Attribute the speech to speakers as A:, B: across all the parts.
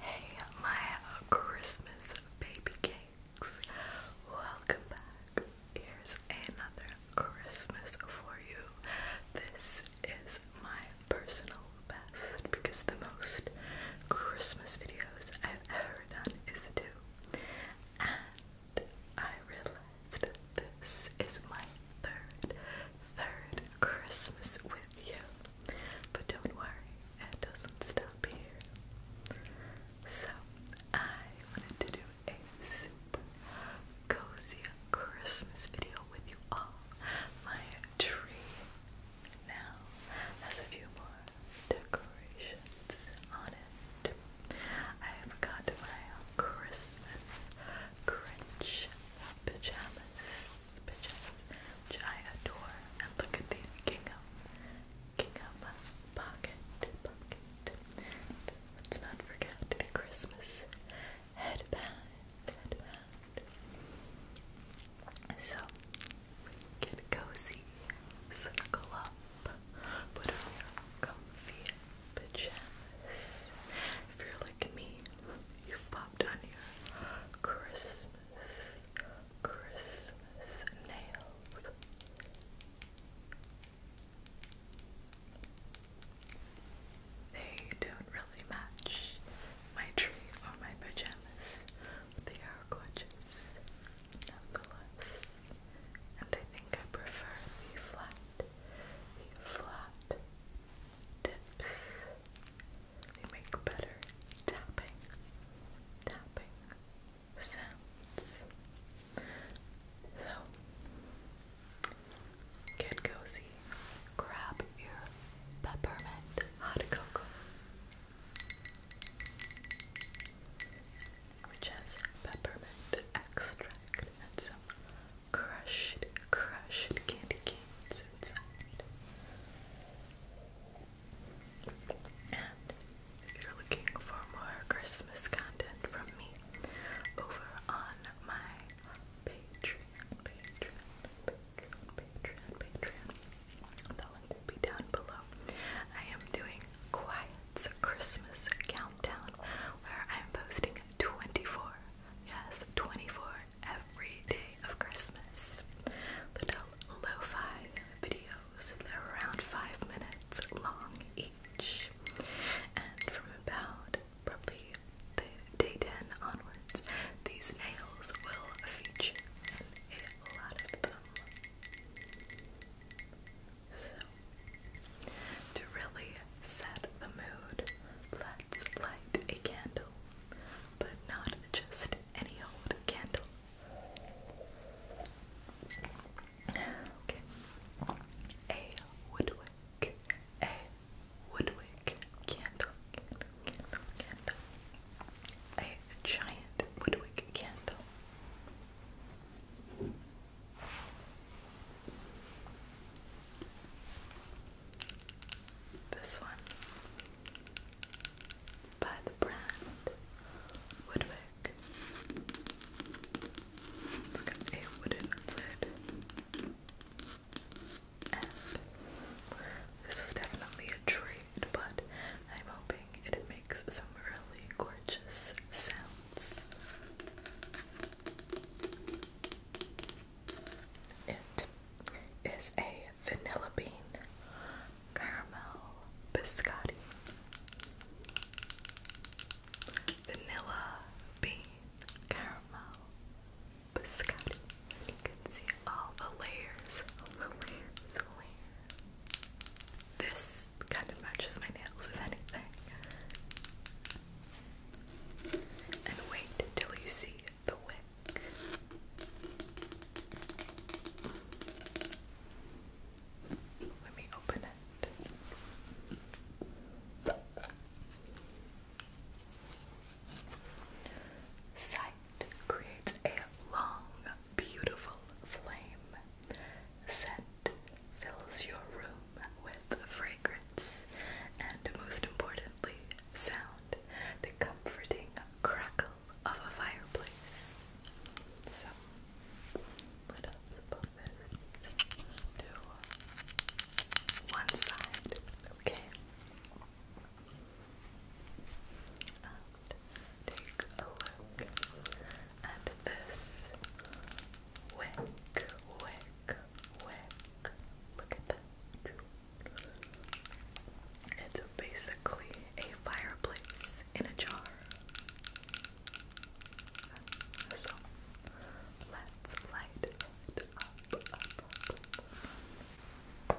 A: Hey, my Christmas baby cakes. Welcome back. Here's another Christmas for you. This is my personal best because the most Christmas videos I've ever done is two. And I realized this is my third, third Christmas with you. But don't worry, it doesn't stop here. So I wanted to do a super cozy Christmas video with you all. My tree now has a few more decorations on it. I've got my Christmas Grinch pajamas, which I adore. And look at these gingham, gingham pocket, pocket. let's not forget the Christmas headband, So we cozy, snuggle up, put on comfy pajamas. If you're like me, you've popped on your Christmas, Christmas nails. They don't really match my tree or my pajamas, they are gorgeous nonetheless. And I think I prefer the flat, the flat tips. They make better tapping, tapping sounds. So Get cozy. Grab peppermint hot cocoa, which has peppermint extract and some crushed, crushed candy canes inside. And if you're looking for more Christmas content from me over on my Patreon, Patreon, Patreon, Patreon, Patreon. The link will be down below. I am doing Quiet's Christmas Countdown where I am posting 24, yes, 24 every day of Christmas. Little lo-fi videos. They're around five minutes long each. And from about probably the day 10 onwards, these nails will feature in a lot of them. So, to really set the mood, let's light a candle, but not just any old candle. Okay. A woodwick. A woodwick candle, candle, candle, A giant woodwick candle. This one by the brand Woodwick. it a wooden lid this is definitely a treat, but I'm hoping it makes some really gorgeous sounds. It is a vanilla bean caramel biscotti. Vanilla bean caramel biscotti. And you can see all the layers, layers, layers. This kind of matches my nails, if anything. And wait till you see the wick. Let me open it. Sight creates a long, beautiful flame. Scent fills your room with fragrance. And most importantly, sound the comforting crackle of a fireplace. So, let us put this to one side, okay? take a look at this wick, wick, wick. Look at that. It's basically a fireplace in a jar. So let's light it up. I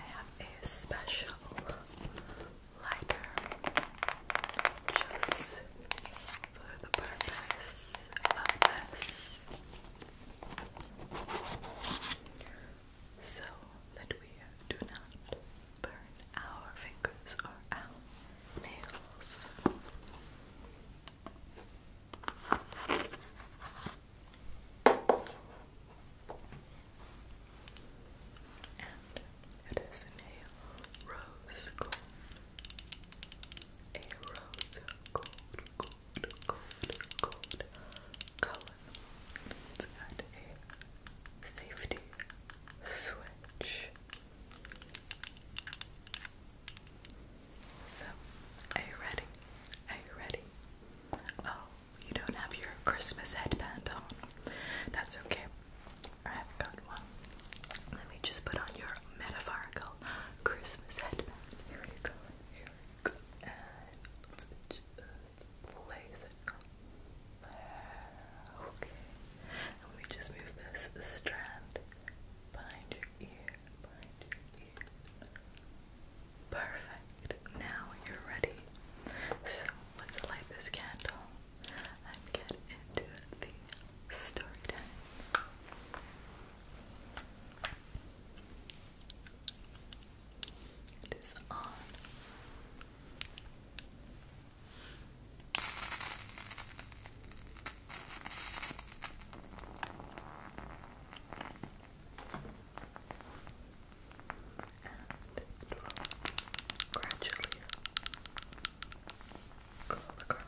A: have a special lighter just for the purpose of this so that we do not burn our fingers or our nails it is a rose gold. A rose gold, gold, gold, gold color. It's got a safety switch. So, are you ready? Are you ready? Oh, you don't have your Christmas headband on. That's okay. I've got one. Let me just put on your metaphorical Christmas headband. Here we go. Here we go. let's just place it Okay. let me just move this strand behind your ear, Perfect. Now you're ready. So let's light this candle and get into the story time. It is on. And it will gradually curl across. Okay.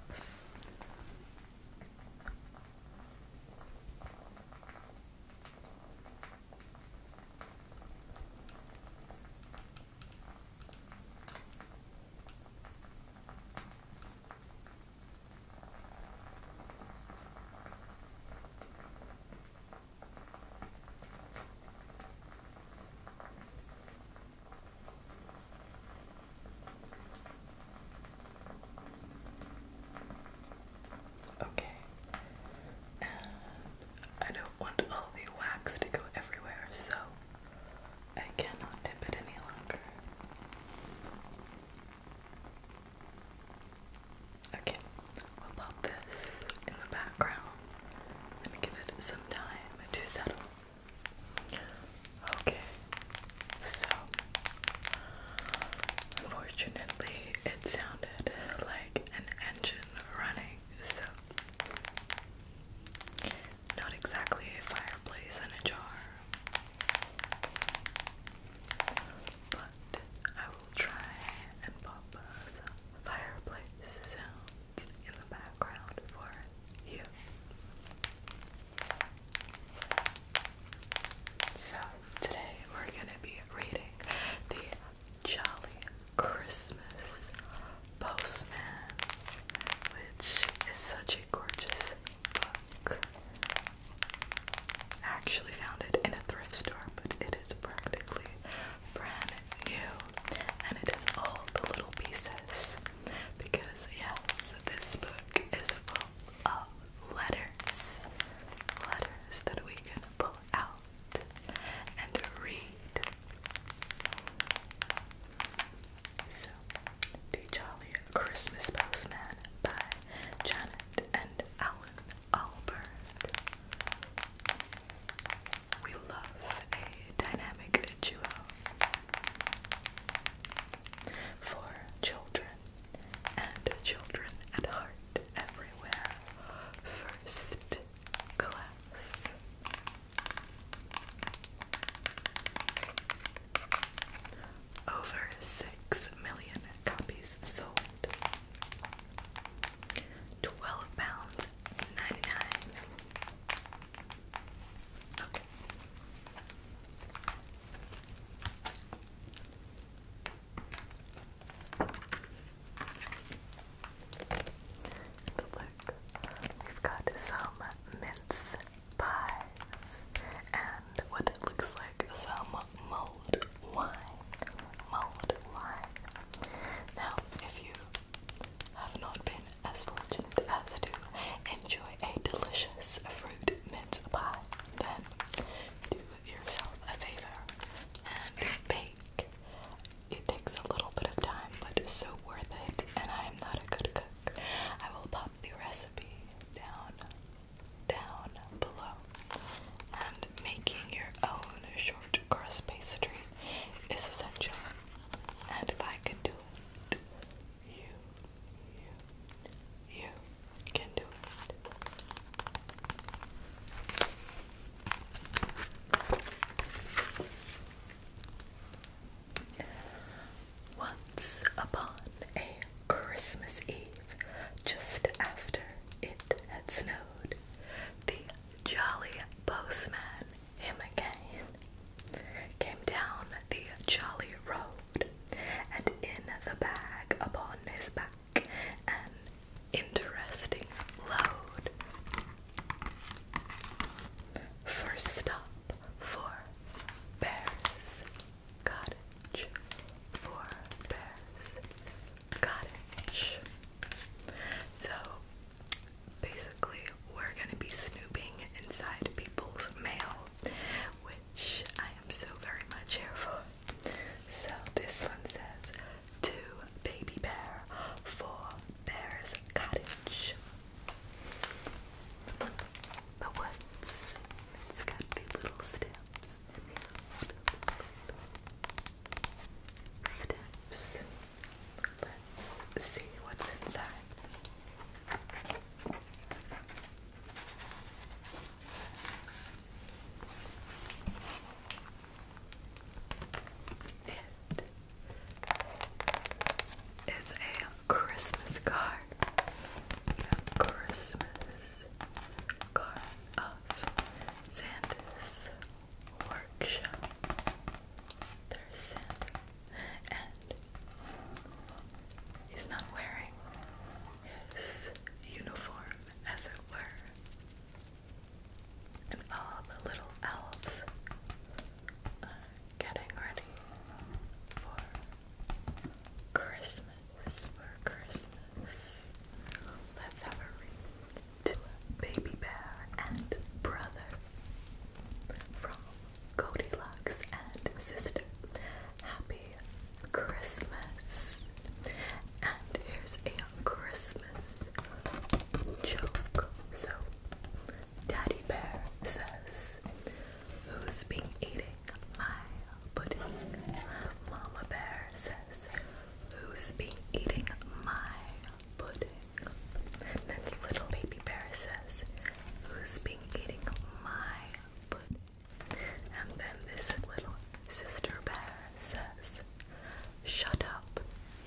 A: Okay. And I don't want all the wax to go everywhere, so I cannot dip it any longer. Okay, we'll pop this in the background and give it some time to settle. Okay, so unfortunately, it sounded like an engine running, so not exactly a fireplace and a jar. But I will try and pop some fireplace sounds in the background for you. So, today we're going to be reading the Jolly Christmas Postman, which is such a gorgeous book. I actually found it in a thrift store, but it is practically brand new. And it has all the little pieces. Because, yes, this book is full of letters. Letters that we can pull out and read. So, the Jolly Christmas Postman by Janet and Alan Albert. We love a dynamic duo. For children and children at heart everywhere. First class. Over 6 million copies sold. 12 pounds 99. Okay. And we've got some mints pies, and what it looks like some mulled wine. Mulled wine. Now, if you have not been as fortunate as to enjoy a delicious fruit mince pie, then do yourself a favor and bake. It takes a little bit of time, but it's so worth it, and I am not a good cook. I will pop the recipe down, down below. And making your own short crust pastry is essential. And if I can do it, you, you, you can do it. Once upon a Christmas Eve, just after it had snowed, the jolly postman, him again, came down the jolly road, and in the bag upon his back, an interesting load. First stop for Bears. Cottage for bears. Cottage. So basically, we're gonna be snooping inside people's mail, which I am so very much here for. So this one says, To Baby Bear for Bear's Cottage the woods. It's got little steps. Steps. Let's see what's inside. It is a Christmas card. Christmas card of Santa's workshop. There's Santa, and he's not wearing his uniform, as it were. And all the little elves are getting ready for Christmas for Christmas. Let's have a read to Baby Bear and Brother from Cody Lux and Sister. Happy Christmas. And here's a Christmas joke. So, Daddy Bear says, who's been eating my pudding? Mama Bear says, who's been eating my pudding? And then little baby bear says, who's been eating my pudding? And then this little sister bear says, shut up,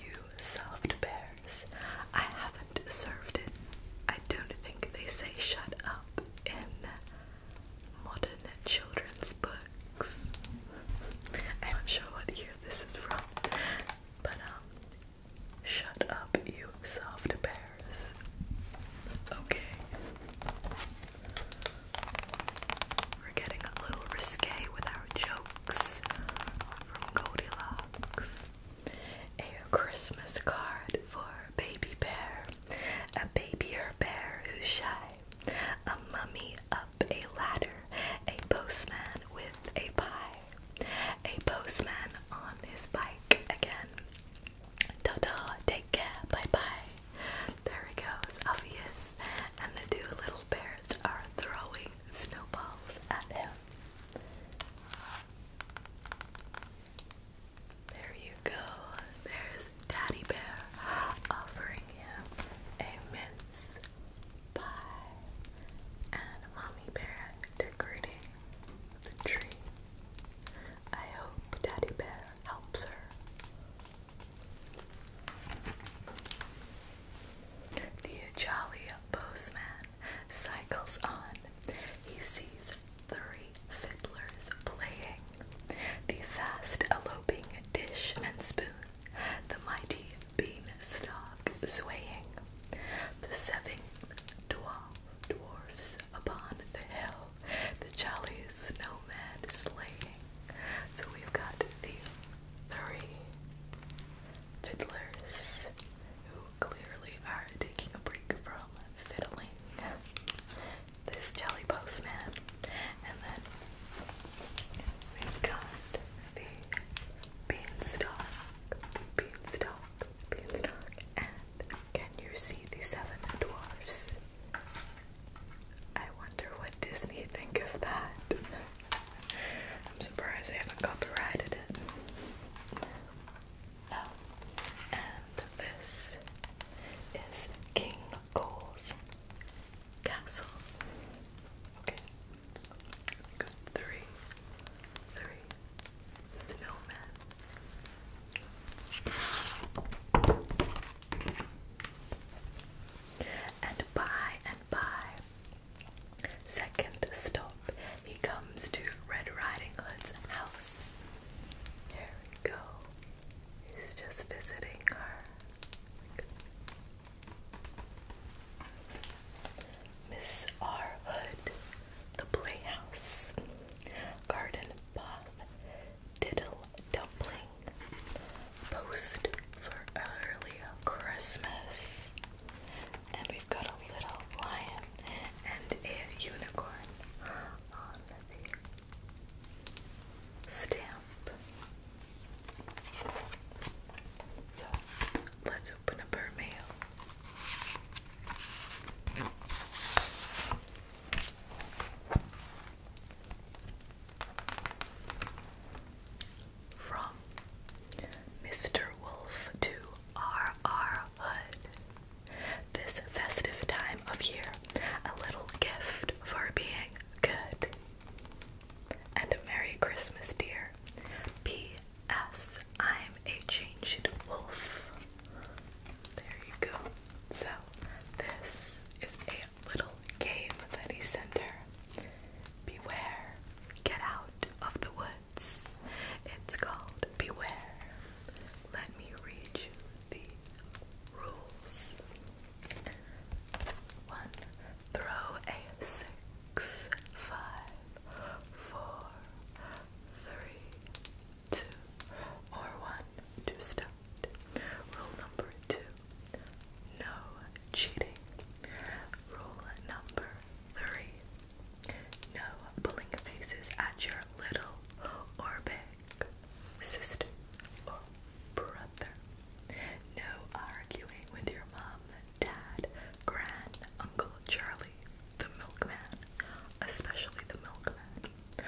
A: you soft bears. I haven't served it. I don't think they say shut up in modern children's books. I'm not sure what year this is from, but um, shut up, you soft bears. Okay. We're getting a little risque with our jokes from Goldilocks. A Christmas card for Baby Bear, a babier bear who's shy, a mummy up a ladder, a postman with a pie, a postman on his bike again. Ta ta, take care, bye bye. There it goes, obvious. And the two little bears are throwing snowballs at him. There you go. There's Daddy Bear offering him a mince pie, and Mommy Bear decorating the tree. I hope Daddy Bear helps her. The jolly postman cycles on. He sees three fiddlers playing, the fast eloping dish and spoon, the mighty beanstalk swaying, the seven dwarf dwarfs upon the hill, the jolly snowman slaying. So we've got the three fiddlers who clearly are taking a break from fiddling this Jelly Postman. And then we've got the beanstalk, beanstalk, beanstalk. And can you see the seven dwarfs? I wonder what Disney think of that. I'm surprised they haven't copyrighted it and this is King Cole's castle. Okay, got three, three snowmen. And by and by, second stop, he comes to Red Riding Hood's house. Here we go. He's just visiting her. Miss R. The Playhouse, Garden Bob, Diddle Dumpling, Post for Early Christmas. And we've got a little lion and a unicorn on the stamp. let's open up her mail. From Mr. Wolf to R.R. Hood this festive time of year a little gift for being good. And a Merry Christmas, dear. P.S. I'm a changed wolf. There you go. So, this is a little game that he sent her. Beware, get out of the woods. It's called Beware. Let me read you the rules. One, throw a six, five, four, three, two, or one to start. Rule number two, no cheating. Rule number three, no pulling faces at your little or sister, brother. No arguing with your mom, dad, grand, uncle Charlie, the milkman, especially the milkman.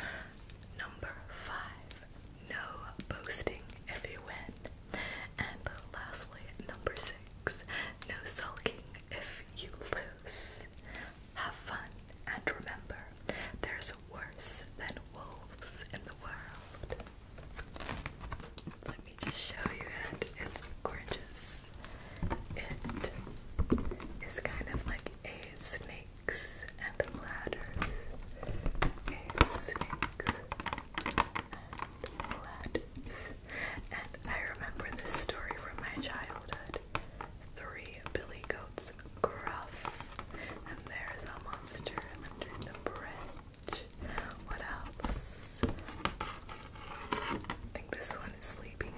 A: Number five, no boasting if you win. And lastly, number six, no sulking if you lose. Have fun and remember, there's worse than wolves in the world. Let me show you it. It's gorgeous. It is kind of like a snakes and ladders. A snakes and ladders. And I remember this story from my childhood. Three billy goats gruff, and there's a monster under the bridge. What else? I think this one is Sleeping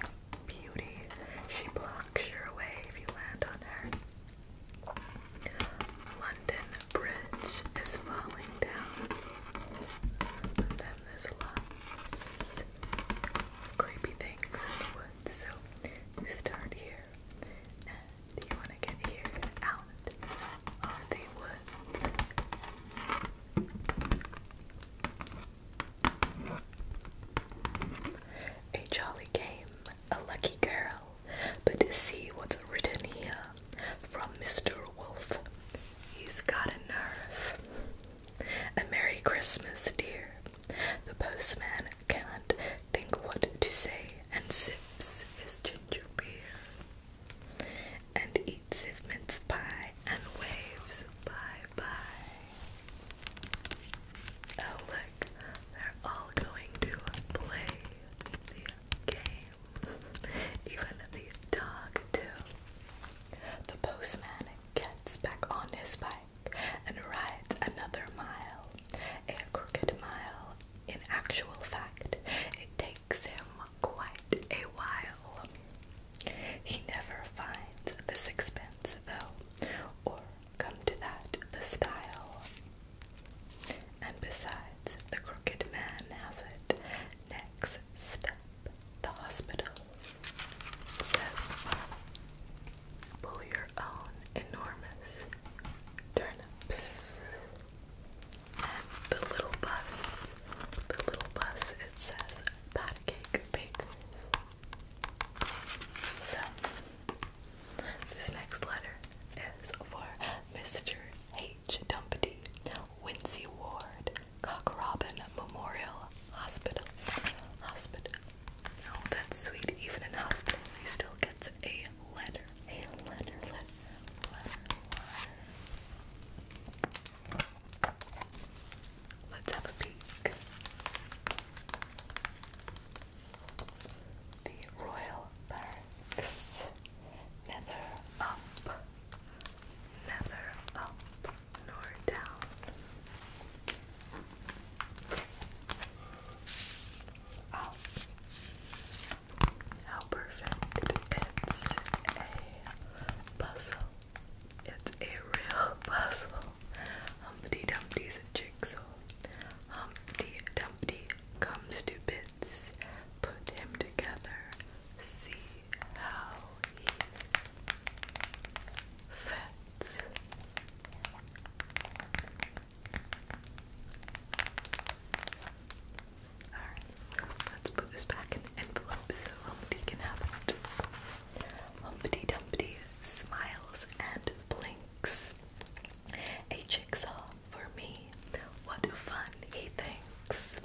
A: Beauty. She blocks your way if you land on her. London Bridge is falling down. then there's lots of creepy things in the woods, so you start here here, you want to get here out of the wood. A jolly game, a lucky girl, but see what's written here from Mr. Wolf. He's got a nerve. A Merry Christmas, dear. The postman can't think what to say and sips his ginger beer and eats his mince pie and waves bye bye. Oh, they're all going to play the game, even the dog, too. The postman gets back on his bike and rides another mile, a crooked mile. In actual fact, it takes him quite a while. He never finds the sixpence, though, or come to that, the style. And besides, the crooked man has it. Next step, the hospital, says pull your own enormous turnips. the little bus, the little bus, it says pat cake bakers. So, this next letter is for Mr. H. Dumpty, Wincy Ward, Cock Robin Memorial Hospital. Hospital. Oh, that's sweet. Even in hospital, he still gets a letter. A letter, letter, letter, letter. Let's have a peek. The Royal Barracks. Never up. Never up nor down. Oh. how perfect! It's a puzzle. It's a real puzzle. Humpty Dumpty's a jigsaw. Humpty Dumpty comes to Put him together. See how he fits. Alright, let's put this back in the envelope so Humpty can have it. Humpty Dumpty smiles and blinks. A jigsaw for me. What fun, he thinks.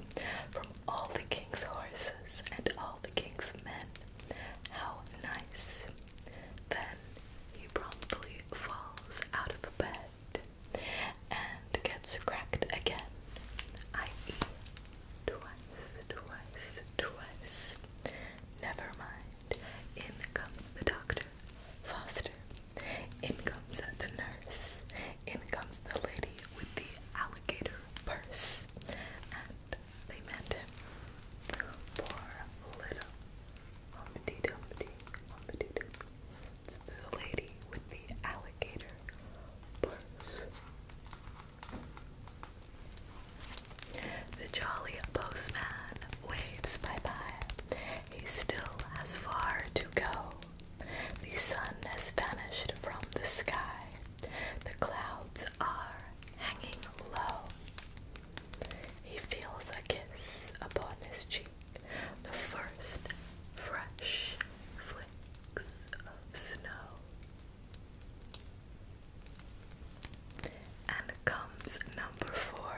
A: From all the king's horses and all the king's men. How nice. Then he promptly falls out of the bed and gets cracked again, i.e., twice, twice, twice. Never mind. In comes the doctor, Foster. In comes the nurse. In comes the lady with the alligator purse. And they met him. Poor little Humpty Dumpty, Humpty Dumpty. the lady with the alligator purse. The jolly postman waves bye bye. He still has far to go. The sun has vanished from the sky. The clouds are hanging low. He feels a kiss upon his cheek, the first fresh flicks of snow. And comes number four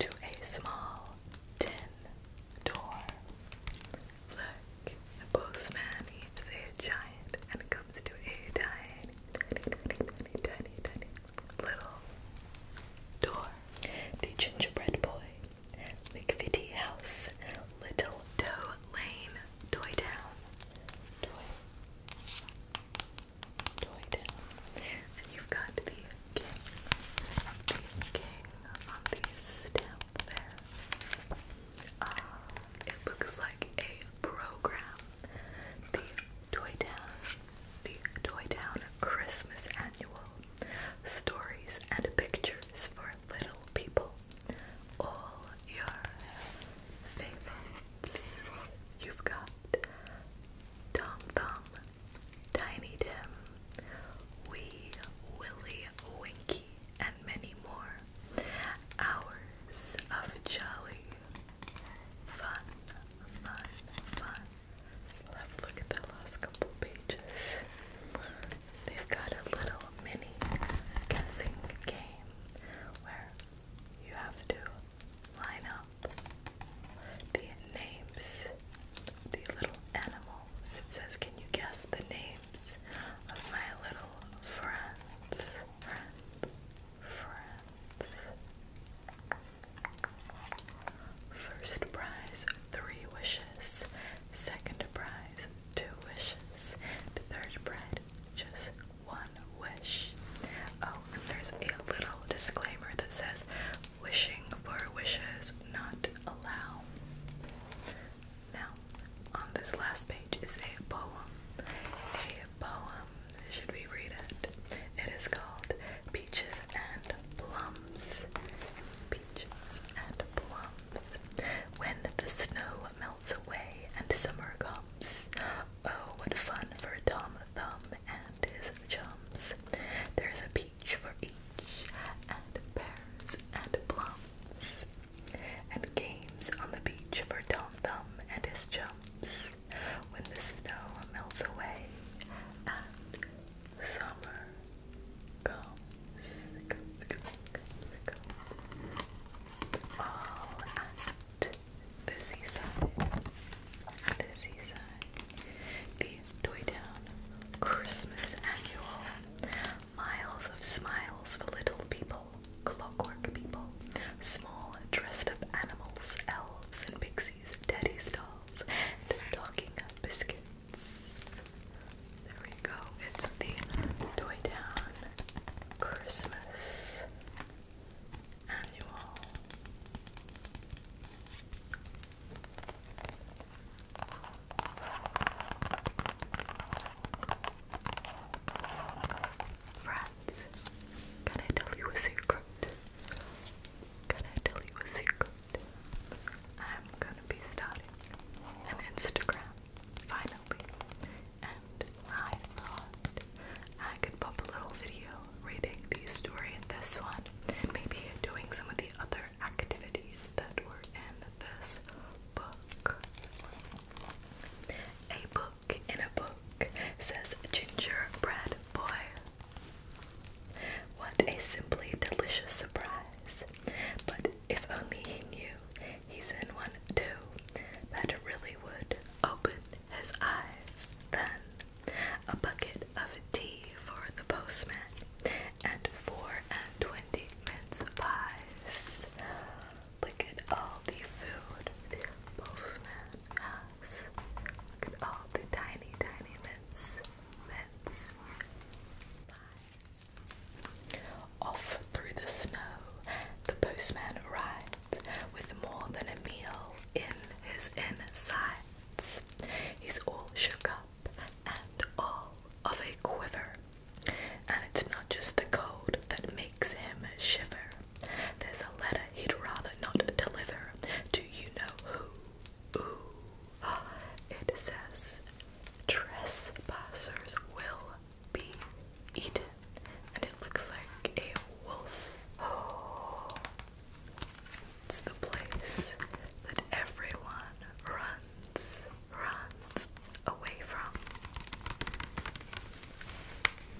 A: to a small tin door. Look, the postman is a giant and comes to a tiny, tiny, tiny, tiny, tiny little door. The gingerbread boy, McVitie House, Little Toe Lane, Toy Town, Toy, Town, and you've got the king, the king on the stamp ah, it looks like a program. Toytown, the Toytown Christmas Annual, stories and pictures for little people. All your favorites. You've got Tom Thumb, Tiny Tim, Wee Willie Winky, and many more. Hours of jolly fun, fun, fun. We'll look at the last couple pages. They've got a little mini guessing game where you have to line up the names, the little animals. It says, Can you guess the names of my little friends. First prize, three wishes. Second prize, two wishes. third prize, just one wish. Oh, and there's a little disclaimer that says wishing for wishes not allowed. Now, on this last page is a poem. A poem. Should we read it? It is called peaches and plums. Peaches and plums. When the snow melts away and summer comes, oh, what fun for Tom Thumb and his chums. There's a peach for each, and pears and plums, and games on the beach for Tom Thumb and his chums. When the snow melts away and summer comes, comes, comes, comes. all at the seaside, the toy town Christmas annual, miles of smiles for little people, clockwork people, small dressed up animals, elves and pixies. Macy's, Teddy Stalls, and Talking Biscuits. There we go. It's the Toy Town Christmas Annual. Friends, can I tell you a secret? Can I tell you a secret? I'm gonna be starting an Instagram finally, and I thought I could pop a little video reading the story in this one, and maybe doing some of the other activities that were in this book. A book in a book says Gingerbread Boy what a simply delicious surprise. But if only he knew he's in one too, that really would open his eyes. Then a bucket of tea for the postman and four and twenty mince pies. Look at all the food the postman has. Look at all the tiny, tiny mints. Off through the snow, the postman arrives with more than a meal in his insides. He's all shook up and all of a quiver. And it's not just the cold that makes him shiver. There's a letter he'd rather not deliver Do you know who. Ooh. It says trespassers will be eaten. And it looks like a wolf. It's the place that everyone runs, runs away from.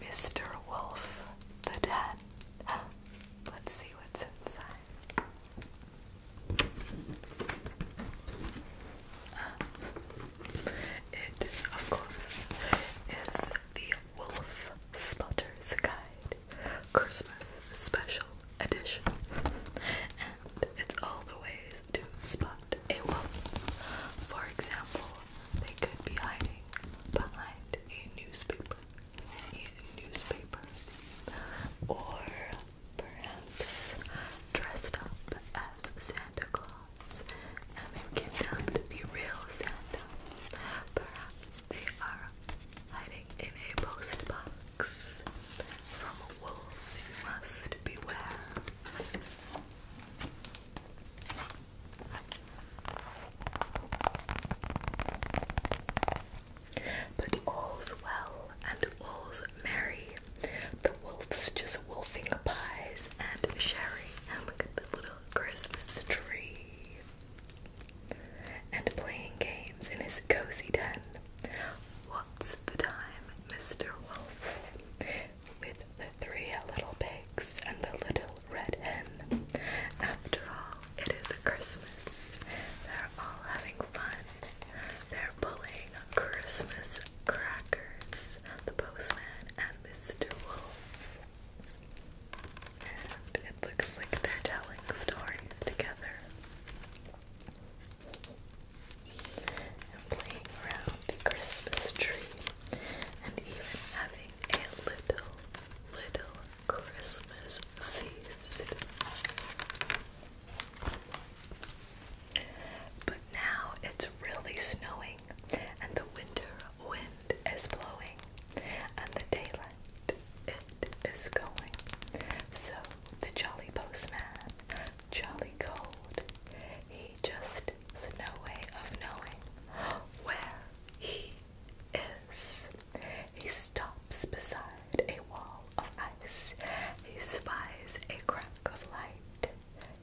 A: Mr. Wolf the dead. Let's see what's inside it, of course, is the Wolf Spotter's Guide Christmas Special Edition, and it's all the ways to spot a wolf. For example, they could be hiding behind a newspaper newspaper, either newspaper, or perhaps dressed up as Santa Claus, and they've kidnapped the real Santa. Perhaps they are hiding in a post box from wolves. You must beware. But all's well and all's merry. The wolf's just wolfing pies and sherry. And look at the little Christmas tree. And playing games in his cozy den. What's the time, Mr. Wolf? With the three little pigs and the little red hen. After all, it is Christmas. They're all having fun. They're pulling Christmas crackers. The postman and Mr. Wolf. And it looks like they're telling stories together. And playing around the Christmas tree. And even having a little, little Christmas feast. But now it's really snowing, and the winter wind is blowing, and the daylight it is going. So the jolly postman, jolly cold, he just is no way of knowing where he he stops beside a wall of ice. He spies a crack of light.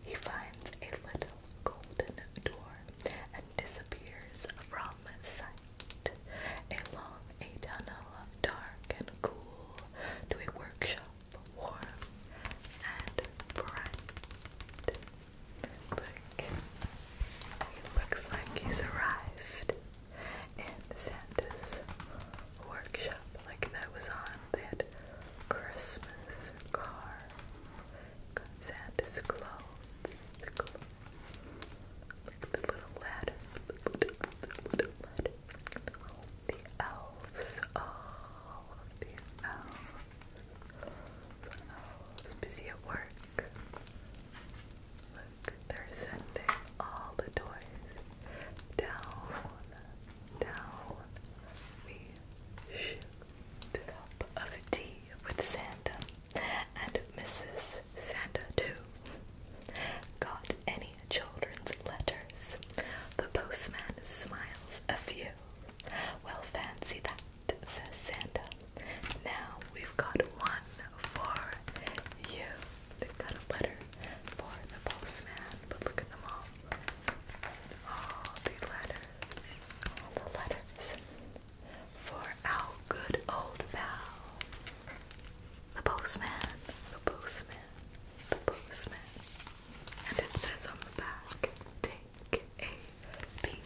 A: He finds a little golden door and disappears from sight. Along a tunnel dark and cool to a workshop warm and bright. Look, he looks like he's arrived and Santa's workshop like that was on that Christmas car. Santa's clothes. The little ladder. The elves. All of the elves. The elves busy at work. Look, they're sending all the toys down, down the chute. Cup of tea with Santa and Mrs. Santa too. Got any children's letters? The postman smiles a few. Well, fancy that, says Santa. Now we've got one for you. They've got a letter for the postman, but look at them all. All the letters. All the letters. For our good old pal. The postman. The postman. The postman. And it says on the back, take a peep.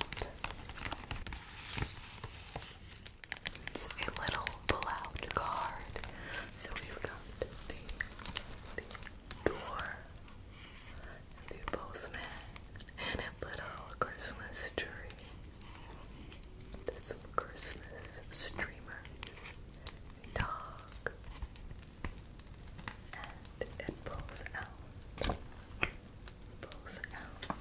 A: It's a little pull-out card. So we've got the, the door, the postman, and a little Christmas tree. There's some Christmas streamers, a dog, and it pulls out, pulls out,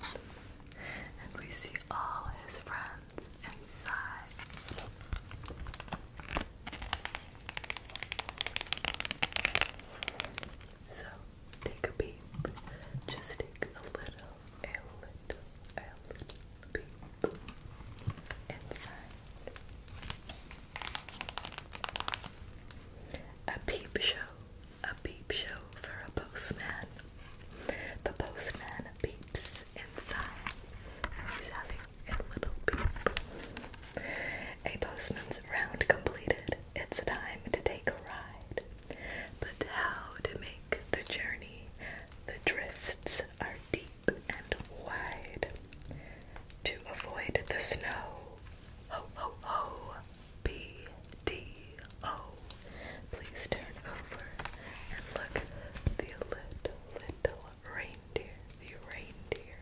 A: and we see all his friends sounds inside. So take a peep. Just take a little, a little, a little peep inside. A peep show, a peep show for a postman the postman beeps inside. He's having a little peep. A postman's round completed. It's time to take a ride. But how to make the journey? The drifts are deep and wide. To avoid the snow, ho ho ho, B D O. Please turn over and look, the little, little reindeer, the reindeer.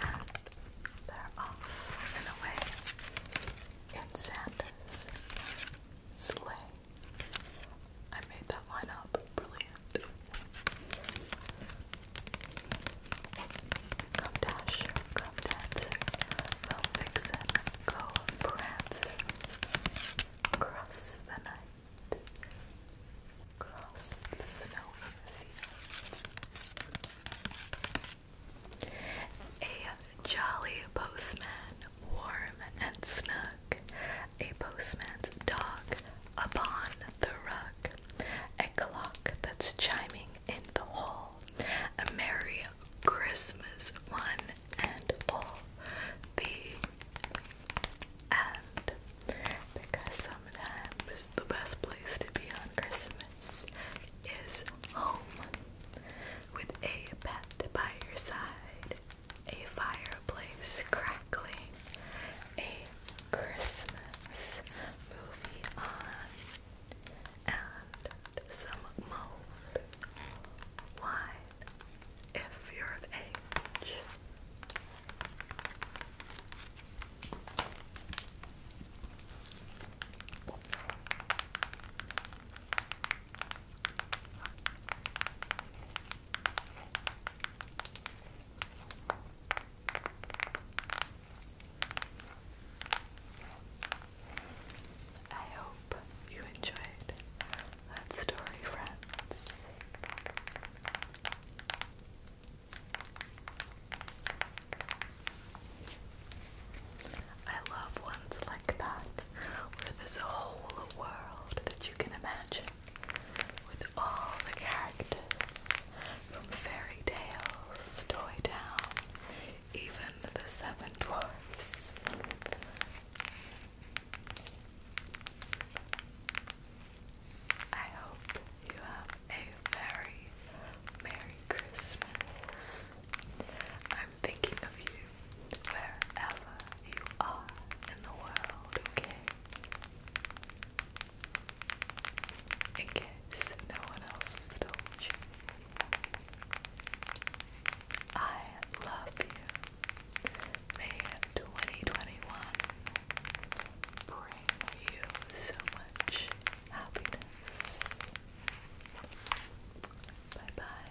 A: And they're off and away in Santa's sleigh. I made that line up. Brilliant. Come Dasher, come Dancer, come Vixen, go Prancer. Cross the night, cross the snow field. A jolly postman, warm and snug, a postman's dog upon the rug, a clock that's chiming in the hall, a merry Christmas, one and all the and because sometimes the best place to be on Christmas is home with a pet by your side, a fireplace crackling, a Christmas movie on, and some mulled wine if you're of age. I hope you enjoyed that story, friends. I love ones like that, where there's a whole world that you can imagine with all the characters from fairy tales, Toy Town, even the Seven Dwarfs. I hope you have a very Merry Christmas. I'm thinking of you wherever you are in the world, In case no one else has I love you. May 2021 bring you so much happiness. Bye bye.